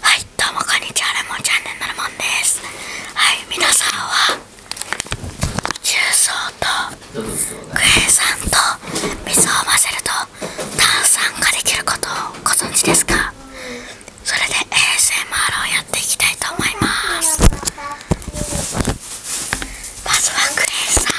はいどうもこんにちはレモンチャンネルのレモンですはい皆さんは重曹とクエン酸と水を混ぜると炭酸ができることをご存知ですかそれで ASMR をやっていきたいと思いますまずはクエン酸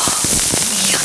あっいやな。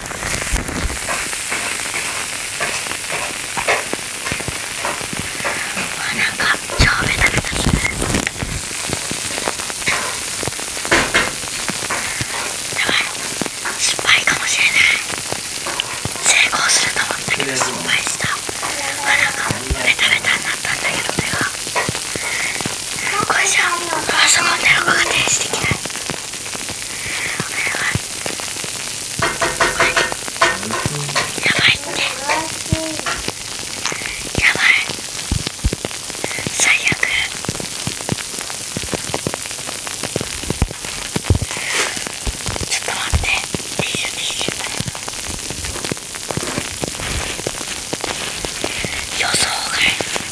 なんか超ベタベタしするやばい失敗かもしれない成功すると思ったけど失敗したあなんかベタベタになったんだけど手がこれじゃあそこで横が停止できないやばいってやばい最悪ちょっと待ってティッシュティッシュ予想外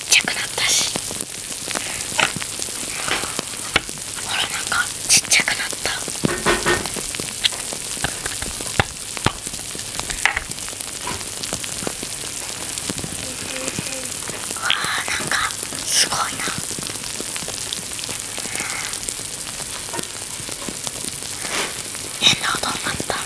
ちっちゃくなったしほらなんかちっちゃくなったわあなんかすごいな変な音になった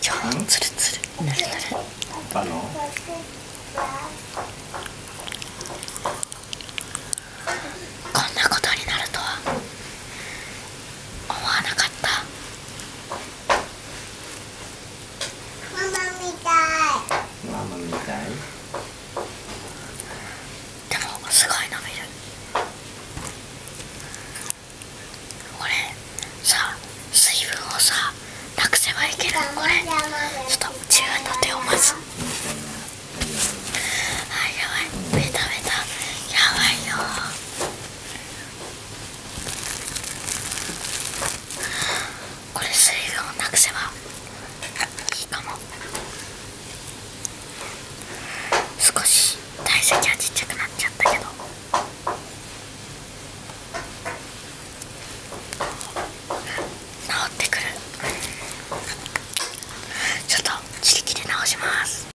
超ツルツルぬるぬるあのこんなことになるとは思わなかったママみたいママみたいでもすごい伸びるこれさ水分をさなくせばいける。これちょっと自分の手をまずあやばいベタベタやばいよこれ水分をなくせばいいかも少し体積はちっちゃくなっちゃったけど。治ってくるちょっと自力で直します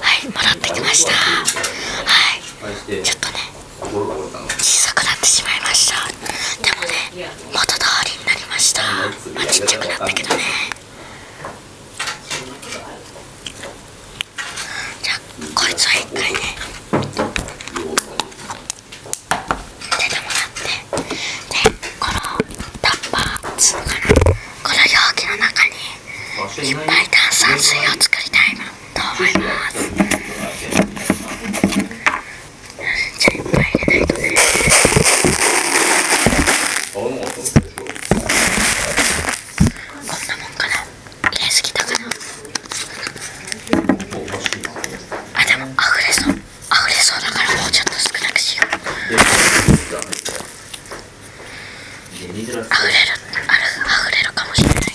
はい戻ってきましたはいちょっとね小さくなってしまいましたでもね元通りになりましたまあちっちゃくなったけどねじゃこいつは1回ね出てもらってでこのタッパーつうかなこの容器の中にいっぱい炭酸水を作りたいなと思います。じゃあいっぱい入れないとねこんなもんかな入れすぎたかなあでも溢れそう溢れそうだからもうちょっと少なくしよう溢れるある溢れるかもしれないからね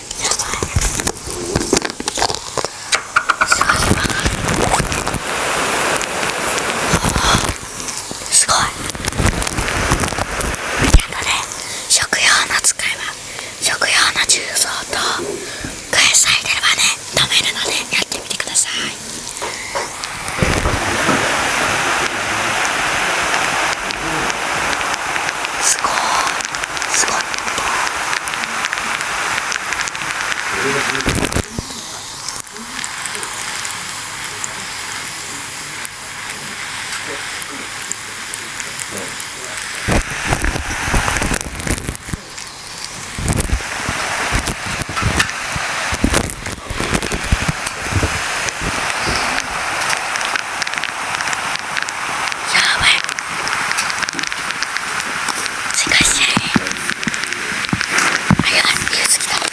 すごいあとね食用の使いは食用の重曹と返エさえ出ればね飲めるのでやってみてください。すごいすやばい難しい早い気が付きたのに。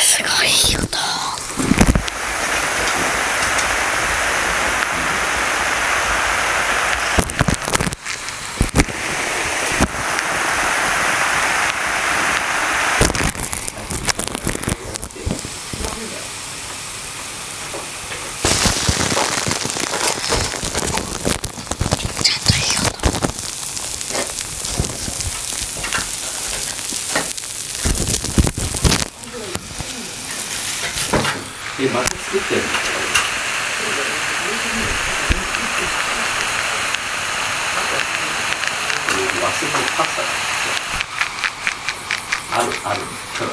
すごい音。え、また作ってあるあるちょ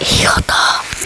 いい音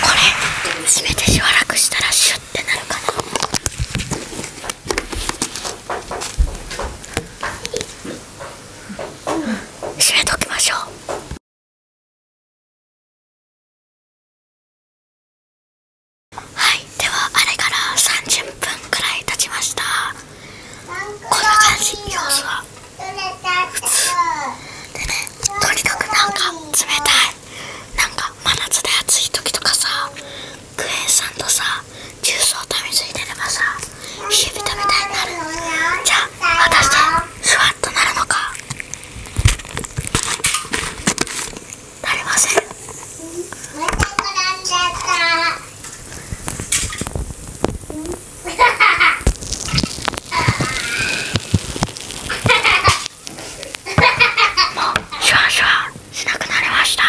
これ閉めてしばらくしたらシュッてなるかな閉めときましょうはいではあれから30分くらい経ちましたこんな感じ様子はでねとにかくなんか冷たいなんか真夏で暑い時とかさクエン酸とさジュースを食べついてればさ火火たべたいになるじゃあ果たしてスワッとなるのかなりませんウハハハハシュワシュワしなくなりました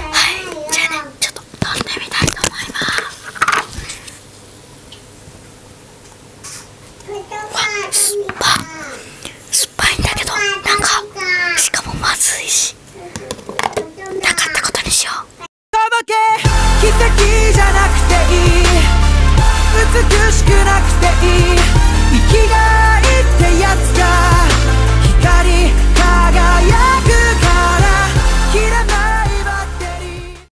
はいじゃあねちょっととんでみたいと思いますわ酸っぱ酸っぱいんだけどなんかしかもまずいしなかったことにしよう奇跡じゃなくていい美しくなくていい生きがいってやつが光輝くから切れないバッテリー